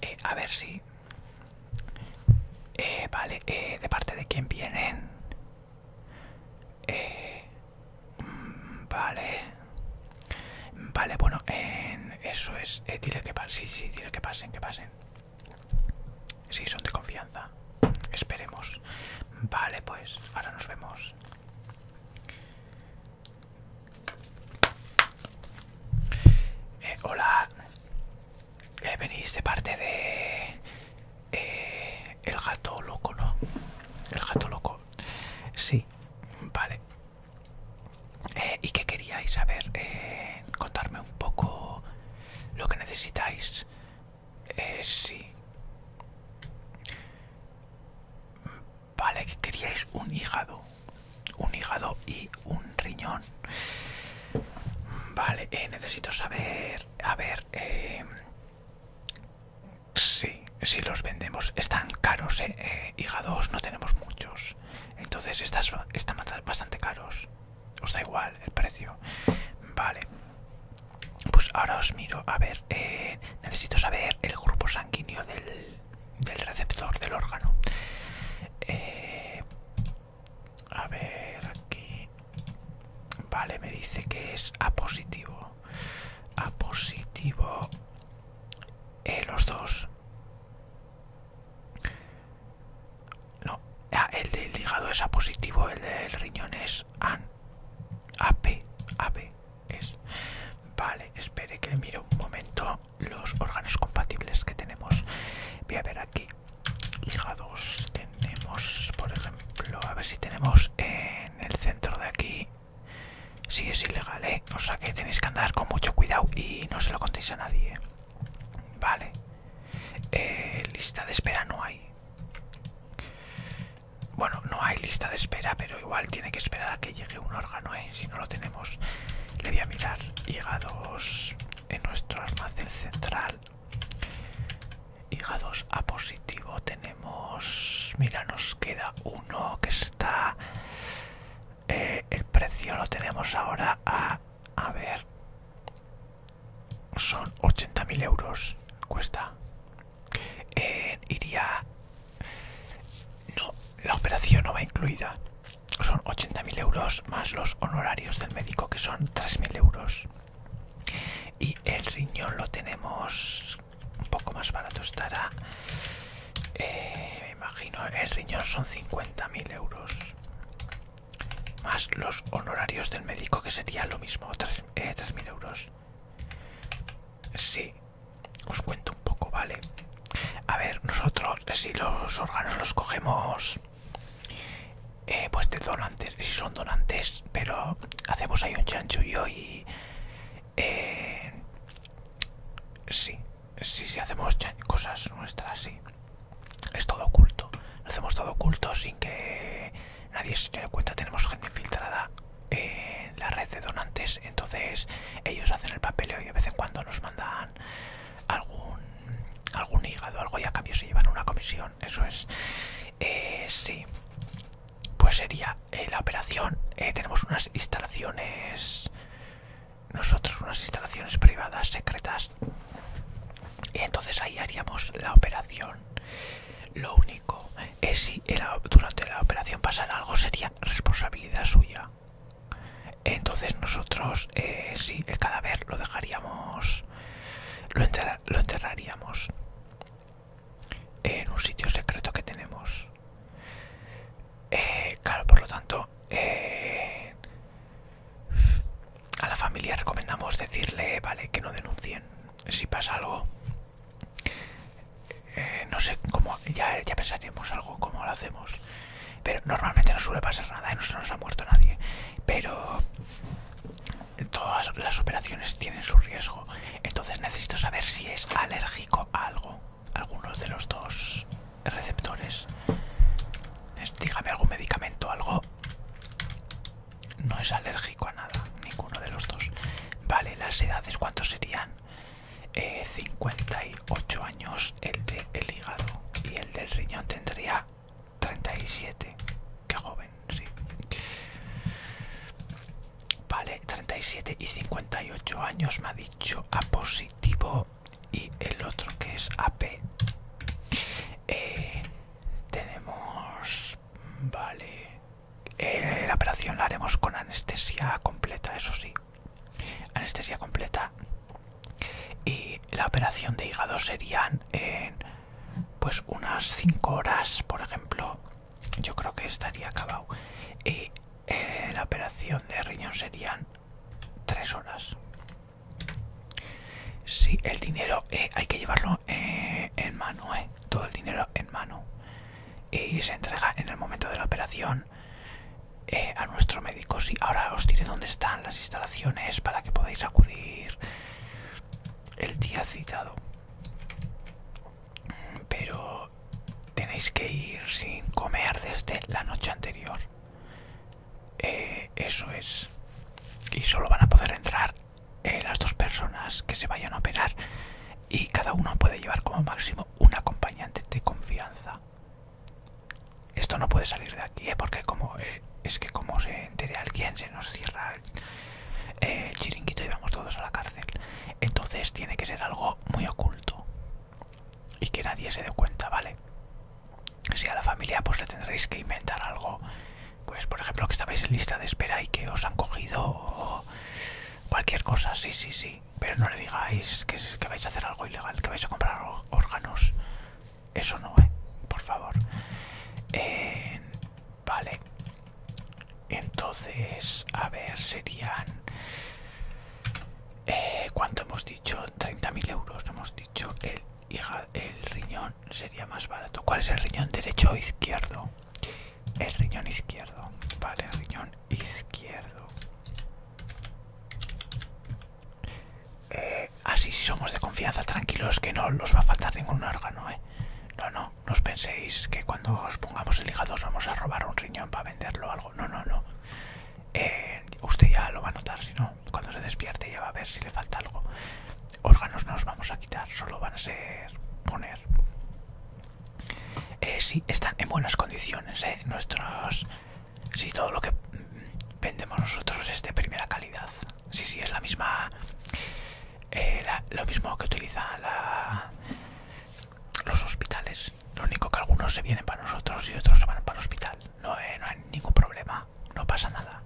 Eh, a ver si... Eh, vale, eh, ¿de parte de quién vienen? Eh, mm, vale. Vale, bueno, eso es pues, eh, dile que pasen, sí, sí, dile que pasen, que pasen. Sí, son de confianza. Esperemos. Vale, pues, ahora nos vemos. Eh, hola. Eh, venís de parte de... Eh, el gato loco, ¿no? El gato loco. Sí. Vale. Eh, y qué queríais saber, eh, contarme un poco lo que necesitáis. Eh, sí. Vale, que queríais un hígado. Un hígado y un riñón. Vale, eh, necesito saber... A ver... sí, si los vendemos. Están caros, Hígados no tenemos muchos. Entonces estas están bastante caros. Os da igual el precio. Vale. Pues ahora os miro. A ver, eh, necesito saber el grupo sanguíneo del, receptor del órgano. Eh, a ver, aquí. Vale, me dice que es A positivo. A positivo. Eh, los dos. No, ah, el del hígado es A positivo, el del riñón es AN. AP, A, es. Vale, espere que mire un momento los órganos compatibles que tenemos. Voy a ver aquí. Hígados tenemos, por ejemplo, a ver si tenemos en el centro de aquí. Si es ilegal, ¿eh? O sea que tenéis que andar con mucho cuidado y no se lo contéis a nadie. Vale. Eh, lista de espera no hay. Bueno, no hay lista de espera, pero igual tiene que esperar a que llegue un órgano, ¿eh? Si no lo tenemos, le voy a mirar. Hígados en nuestro almacén central. Hígados a positivo tenemos... Mira, nos queda uno que está... Eh, el precio lo tenemos ahora a a ver son 80.000 euros cuesta eh, iría no la operación no va incluida son 80.000 euros más los honorarios del médico que son 3.000 euros y el riñón lo tenemos un poco más barato estará eh, me imagino el riñón son 50.000 euros más los honorarios del médico que sería lo mismo 3.000 eh, mil euros sí os cuento un poco vale a ver nosotros eh, si los órganos los cogemos pues de donantes si son donantes pero hacemos ahí un chanchullo y eh, sí si, si hacemos cosas nuestras, sí. Es todo oculto. hacemos todo oculto sin que nadie se dé cuenta. Tenemos gente infiltrada en la red de donantes. Entonces ellos hacen el papeleo y de vez en cuando nos mandan algún, algún hígado, algo y a cambio se llevan una comisión. Eso es. Eh, sí. Pues sería eh, la operación. Eh, tenemos unas instalaciones nosotros unas instalaciones privadas secretas y entonces ahí haríamos la operación lo único es si durante la operación pasara algo sería responsabilidad suya entonces nosotros eh, Si el cadáver lo dejaríamos lo, enterraríamos en un sitio secreto que tenemos eh, claro por lo tanto eh, a la familia recomendamos decirle, vale, que no denuncien si pasa algo. Eh, no sé cómo, ya, ya pensaremos algo, cómo lo hacemos. Pero normalmente no suele pasar nada, ¿eh? no se nos ha muerto nadie. Pero todas las operaciones tienen su riesgo. Entonces necesito saber si es alérgico a algo algunos de los dos receptores. Dígame algún medicamento, algo. No es alérgico a nada, ninguno de los dos. Vale, las edades, ¿cuántos serían? 58 eh, años el de el hígado y el del riñón tendría 37. Qué joven, sí. Vale, 37 y 58 años me ha dicho a positivo y el otro que es AP eh, tenemos vale eh, la operación la haremos con anestesia completa eso sí anestesia completa y la operación de hígado serían en pues unas 5 horas por ejemplo yo creo que estaría acabado y eh, la operación de riñón serían tres horas. Sí, el dinero eh, hay que llevarlo eh, en mano, eh. todo el dinero en mano. Y se entrega en el momento de la operación a nuestro médico. Sí, ahora os diré dónde están las instalaciones para que podáis acudir el día citado. Pero tenéis que ir sin comer desde la noche anterior. Eh, eso es. Y solo van a poder entrar eh, las dos personas que se vayan a operar y cada uno puede llevar como máximo un acompañante de confianza. Esto no puede salir de aquí, eh, porque como es que como se entere alguien se nos cierra el chiringuito y vamos todos a la cárcel. Entonces tiene que ser algo muy oculto y que nadie se dé cuenta, ¿vale? Si a la familia pues le tendréis que inventar algo, pues por ejemplo que estabais en lista de espera y que os han cogido cualquier cosa, sí, sí, sí, pero no le digáis que, vais a hacer algo ilegal, que vais a comprar órganos, eso no, ¿eh? Por favor. vale. Entonces, a ver, serían eh, ¿Cuánto hemos dicho? 30.000 euros. Hemos dicho el, el riñón sería más barato. ¿Cuál es el riñón derecho o izquierdo? El riñón izquierdo. Vale, el riñón izquierdo. Eh, así si somos de confianza, tranquilos, que no os va a faltar ningún órgano, ¿eh? No, no, no os penséis que cuando os pongamos el hígado os vamos a robar un riñón para venderlo o algo. No, no, no. Eh, usted ya lo va a notar, si no, cuando se despierte ya va a ver si le falta algo. Órganos no los vamos a quitar, solo van a ser poner. si eh, sí, están en buenas condiciones, eh, nuestros... Sí, todo lo que vendemos nosotros es de primera calidad. Sí, sí, es la misma... lo mismo que utilizan la, los hospitales. Lo único que algunos se vienen para nosotros y otros se van para el hospital. No, eh, no hay ningún problema, no pasa nada.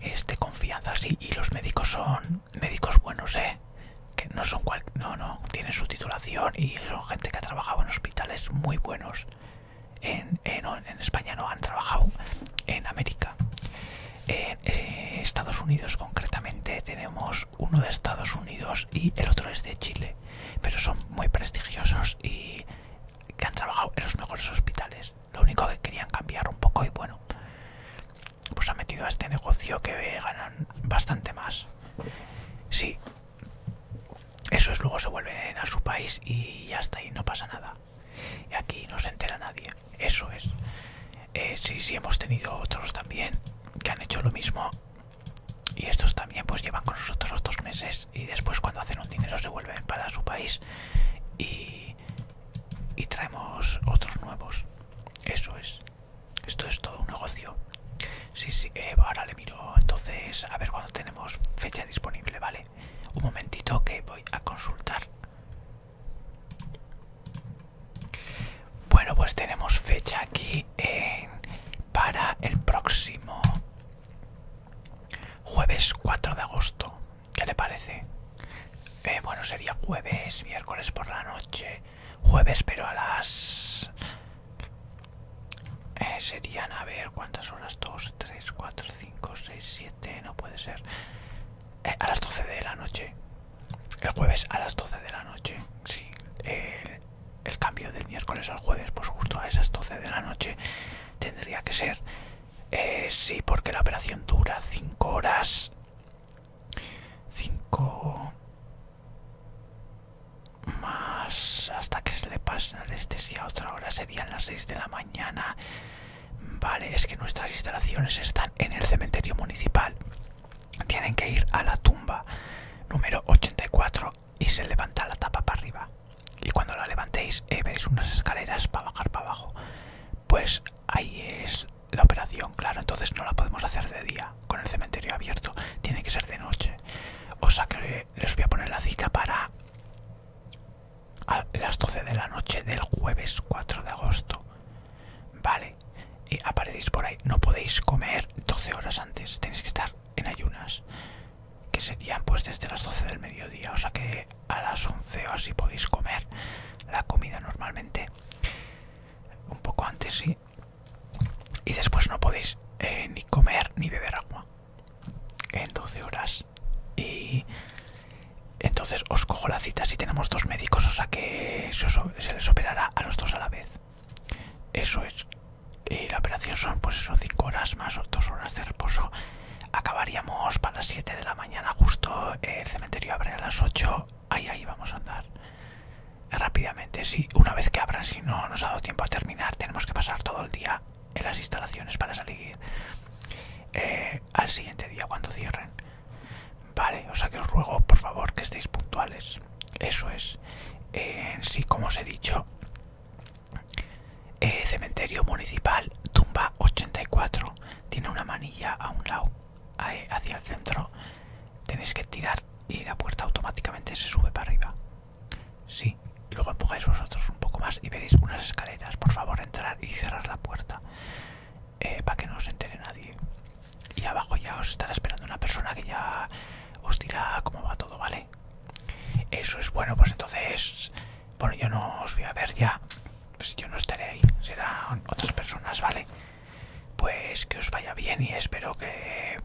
Es de confianza, sí, y los médicos son médicos buenos, ¿eh? Que no son cual... No, no, tienen su titulación y son gente que ha trabajado en hospitales muy buenos. En, España no, han trabajado en América. En eh, Estados Unidos concretamente tenemos uno de Estados Unidos y el otro es de Chile pero son muy prestigiosos y que han trabajado en los mejores hospitales. Lo único que querían cambiar un poco y bueno, pues han metido a este negocio que ganan bastante más. Sí, eso es, luego se vuelven a su país y ya está, y no pasa nada. Y aquí no se entera nadie, eso es. Eh, sí, sí, hemos tenido otros también que han hecho lo mismo y estos también pues llevan con nosotros los dos meses y después cuando hacen un dinero se vuelven para su país y, y traemos otros nuevos eso es esto es todo un negocio sí sí eh, ahora le miro entonces a ver cuando tenemos fecha disponible vale un momentito que voy a consultar bueno pues tenemos fecha aquí para el próximo Jueves 4 de agosto, ¿qué le parece? Eh, bueno, sería jueves, miércoles por la noche. Jueves, pero a las... Eh, serían, a ver, ¿cuántas horas? 2, 3, 4, 5, 6, 7, no puede ser. Eh, a las 12 de la noche. El jueves a las 12 de la noche, sí. Eh, el cambio del miércoles al jueves, pues justo a esas 12 de la noche tendría que ser. Eh, sí, porque la operación dura 5 horas. 5 más hasta que se le pase la anestesia otra hora serían las 6 de la mañana. Vale, es que nuestras instalaciones están en el cementerio municipal. Tienen que ir a la tumba número 84 y se levanta la tapa para arriba. Y cuando la levantéis eh, veis veréis unas escaleras para bajar para abajo. Pues ahí es la operación, claro. Entonces no la podemos hacer de día con el cementerio abierto. Tiene que ser de noche. O sea que les voy a poner la cita para a las 12 de la noche del jueves 4 de agosto. Vale. Y aparecéis por ahí. No podéis comer 12 horas antes. Tenéis que estar en ayunas que serían pues desde las 12 del mediodía o sea que a las 11 o así podéis comer la comida normalmente un poco antes sí y después no podéis eh, ni comer ni beber agua en 12 horas y entonces os cojo la cita si tenemos dos médicos o sea que se les operará a los dos a la vez eso es. la operación son pues eso, 5 horas más o 2 horas de reposo. Acabaríamos para las 7 de la mañana justo. el cementerio abre a las 8. Ahí, ahí vamos a andar. Rápidamente, sí. Una vez que abran, si no nos ha dado tiempo a terminar, tenemos que pasar todo el día en las instalaciones para salir eh, al siguiente día cuando cierren. Vale, o sea que os ruego por favor que estéis puntuales. Eso es. En sí, como os he dicho, cementerio municipal, tumba 84. Tiene una manilla a un lado, hacia el centro. Tenéis que tirar y la puerta automáticamente se sube para arriba. Sí, y luego empujáis vosotros un poco más y veréis unas escaleras. Por favor, entrar y cerrar la puerta eh, para que no se entere nadie. Y abajo ya os estará esperando una persona que ya os dirá cómo va todo, ¿vale? Eso es bueno, pues entonces... Bueno, yo no os voy a ver ya. Pues yo no estaré ahí. Serán otras personas, ¿vale? Pues que os vaya bien y espero que...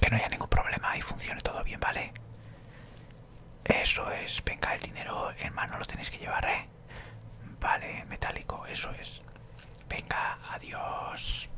Que no haya ningún problema y funcione todo bien, ¿vale? Eso es. Venga, el dinero en mano lo tenéis que llevar, ¿eh? Vale, metálico, eso es. Venga, adiós.